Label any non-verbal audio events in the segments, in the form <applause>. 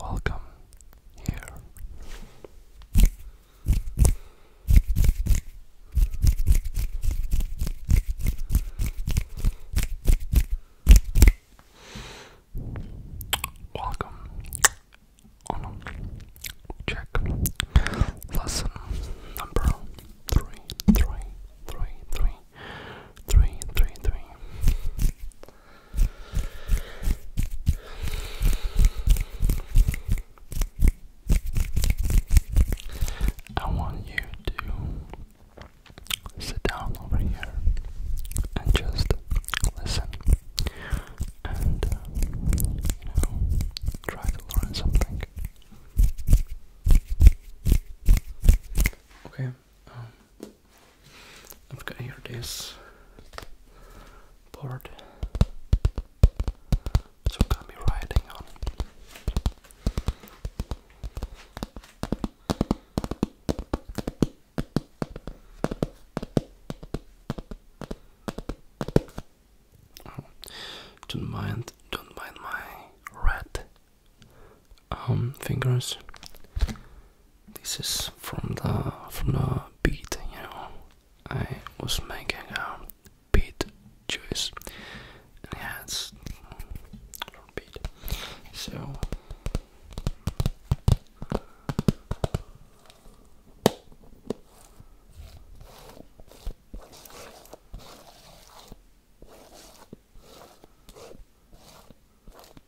welcome here. Welcome oh check lesson number three, three, three, three, three, three, three. I want you to sit down over here and just listen and uh, try to learn something. Okay. Um, I've got here this board to be riding on don't mind don't mind my red um, fingers this is from the from the beat, you know. I was making a beat juice and it has beat. So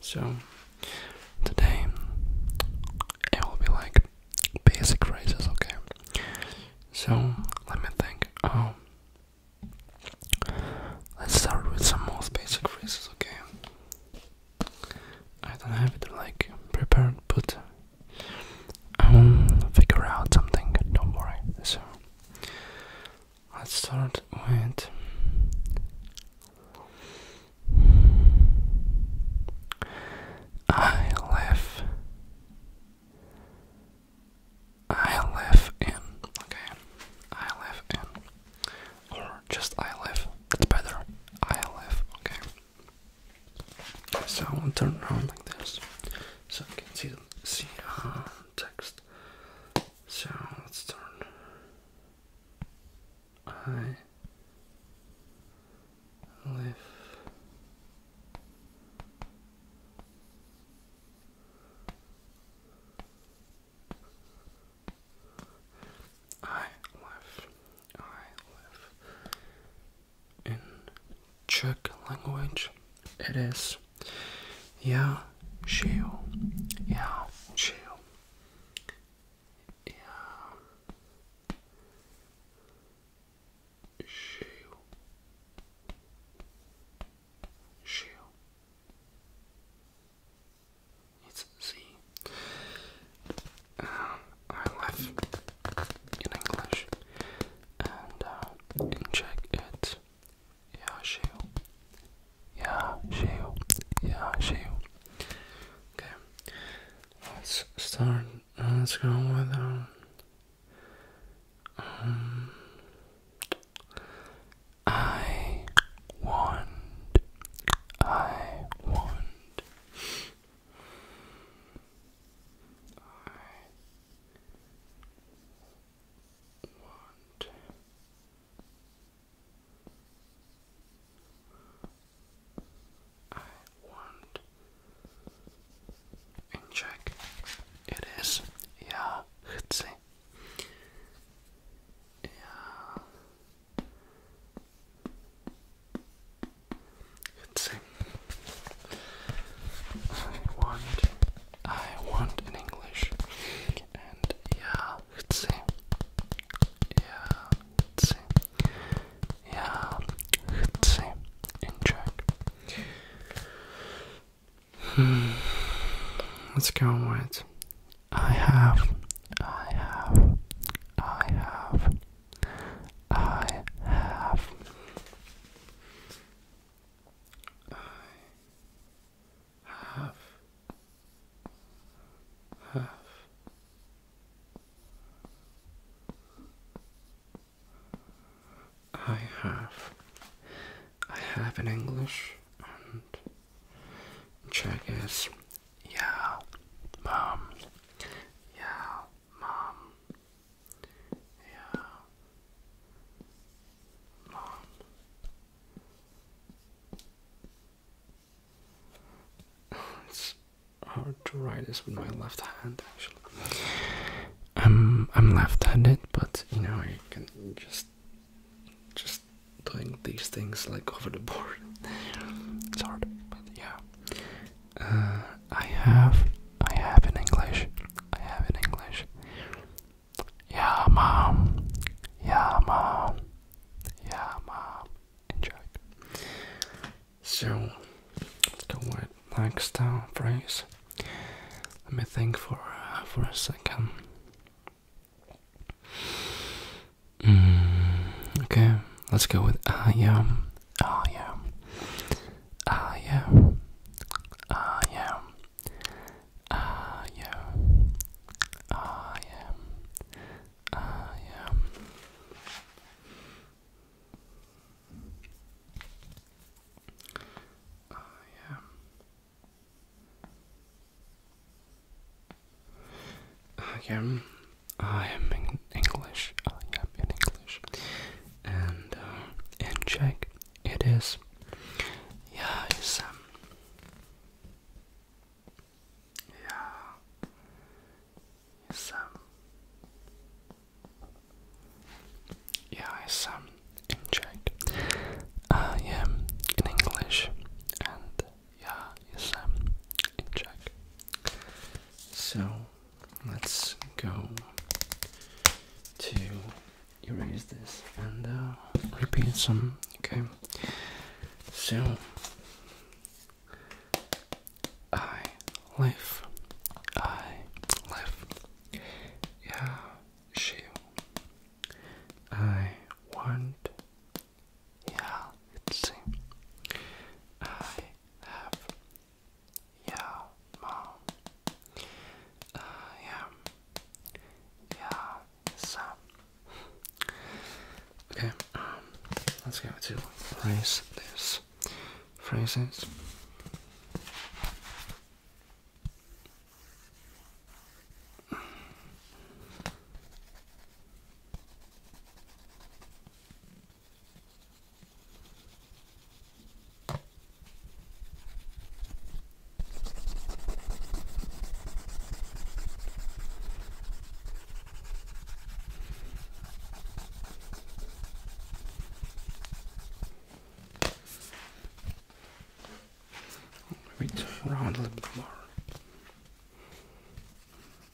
So today it will be like basic phrases, okay? So let me think. Oh, let's start with some most basic phrases, okay? I don't have it like prepared, but I'll um, figure out something. Don't worry. So Let's start with I in. Okay. I in. Or just I live. That's better. I Okay. So I'll turn around like this. So I can see, the uh, text. So let's turn I live I live I live in Czech language. It is yeah, chill, yeah, chill, yeah, chill, chill. It's Z. Um, in English and uh, in Czech it yeah, she'll. Okay. Let's start. Uh, let's go with um, um I want I want I want I want in it is yeah chci yeah Let's see. I want, I want in English, and yeah, Yeah, Yeah, let hmm. Let's go with. I have. I have. I have. I have. I have. Have. I have. I have in English and Czech is yeah, mom. Yeah, mom. Yeah. Mom. It's hard to write this with my left hand actually. I'm I'm left-handed, but you know I can just just doing these things like over the board. it's hard, but yeah. Uh, I have, I have in English. I have in English. Yeah, mom. Yeah, mom. Yeah, mom. Enjoy. So, let's go with next uh, phrase. Let me think for uh, for a second. Mm, okay, let's go with I uh, am. Ah, yeah. Ah, yeah. Ah, yeah. Ah, yeah. Ah, yeah. Ah, yeah. Ah, yeah. Again, ah, I am in English. I am in English. And uh, in Czech, it is. Yeah, it's um, Yeah, it's um, Yeah, it's um, in Czech. I am in English, and yeah, it's in Czech. So let's go to erase this and uh, repeat some. Okay, so I live, I live, yeah, she, I want, yeah, let's I have. Yeah, mom. I Yeah, son. Okay, um, let's go to phrase this. Phrases. Move it around a little bit more.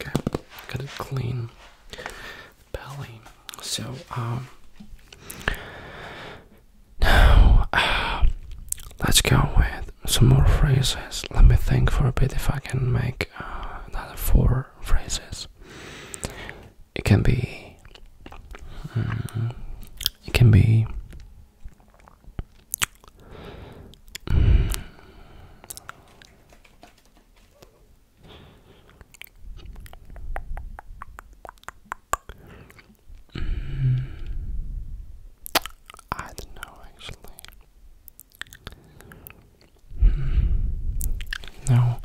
Okay, got a clean belly. So, um, now, uh, let's go with some more phrases. Let me think for a bit if I can make uh, another four phrases. It can be. Mm, it can be. Mm, I don't know actually. no,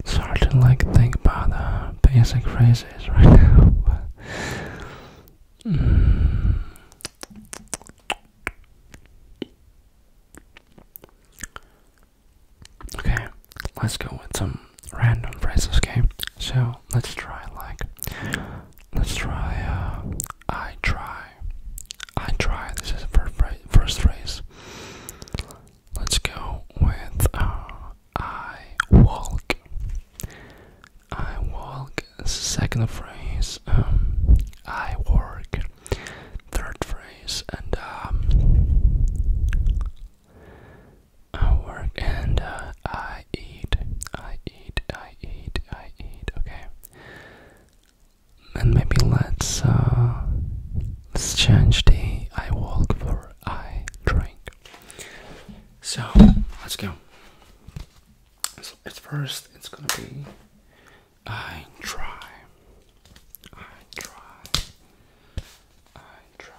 it's hard to like think about uh, basic phrases right now. <laughs> Okay, let's go with some random phrases, okay? So let's try like, let's try, uh, I try, I try, this is the first phrase. Let's go with, uh, I walk, I walk, second phrase, um, I work, third phrase, and um, I work and uh, I eat, I eat, I eat, I eat. Okay, and maybe let's uh, let's change the I walk for I drink. So let's go. So at first, it's gonna be I try, I try, I try.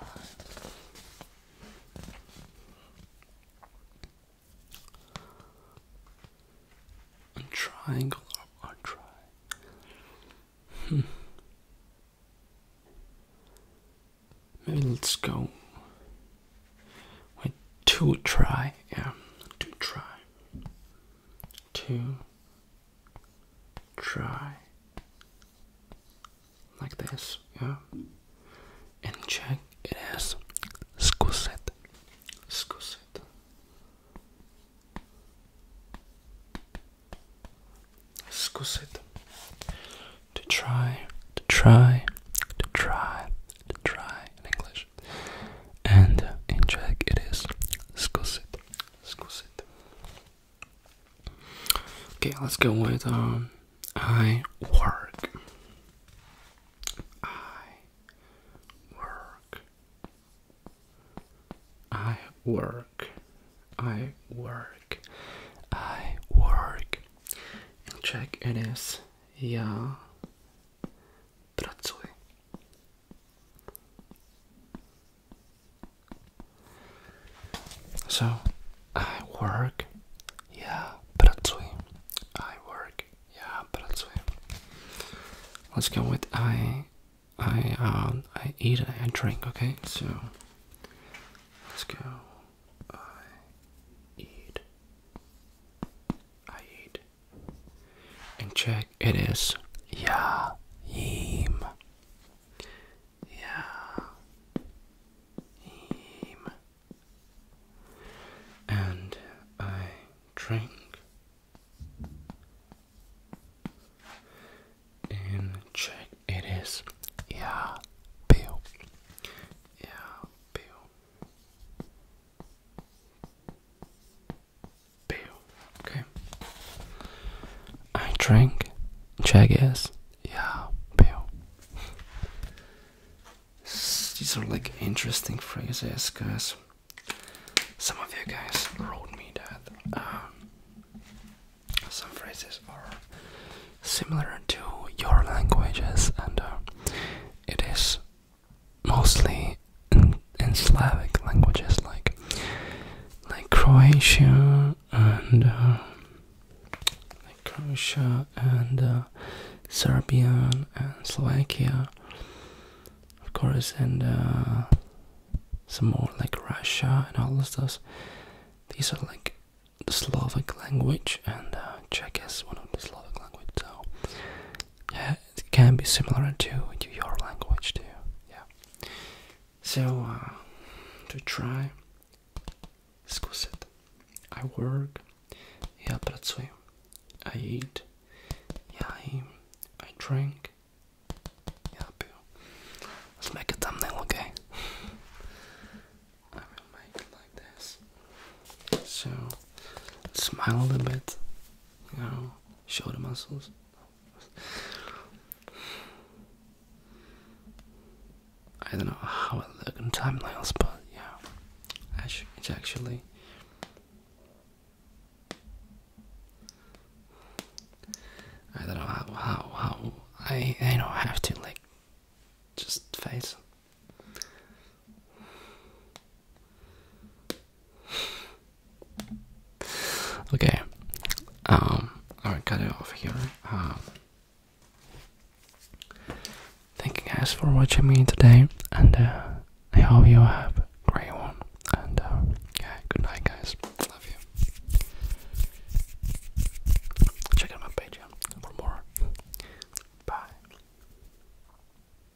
triangle I a try. Hmm. Maybe let's go with two try. Yeah, two try. Two try like this, yeah. And check it has it, scuset. it. To try, to try, to try, to try in English. And in Czech it is it, scusit, it. Okay, let's go with um, I work. I work. I work. I work. I work. check it is yeah. Pracuję. So I work, yeah, pracuję. I work, yeah, but pracuję. Let's go with I, I, um, I eat, I drink. Okay, so let's go. I eat, I eat, and check. It is yeah, him. Yeah. And I drank in Czech it is yeah bill yeah bill Okay. I drank Jackass. Yeah, These are like interesting phrases, guys. Some of you guys wrote me that um, some phrases are similar to your languages, and uh, it is mostly like in, Slavic languages, like like Croatia and uh, like Croatia and uh, Serbian and Slovakia, of course, and uh, some more like Russia and all those. These are like the Slavic language, and uh, Czech is one of the Slavic language. So yeah, it can be similar to, to your language too. Yeah. So uh, to try. Скусит. I work. Я працюю. I eat. Я им. I drink. Я пью. Let's make a thumbnail, okay? I will make it like this. So, smile a little bit. You Shoulder muscles. I don't know how I look in timelines, but yeah, it's actually I don't know how how how I I don't have to like just face. Okay. Um, alright, cut it off here. Um, thank you guys for watching me today, and uh, I hope you have a great one. And uh, yeah, good night, guys. Love you. Check out my page for more. Bye.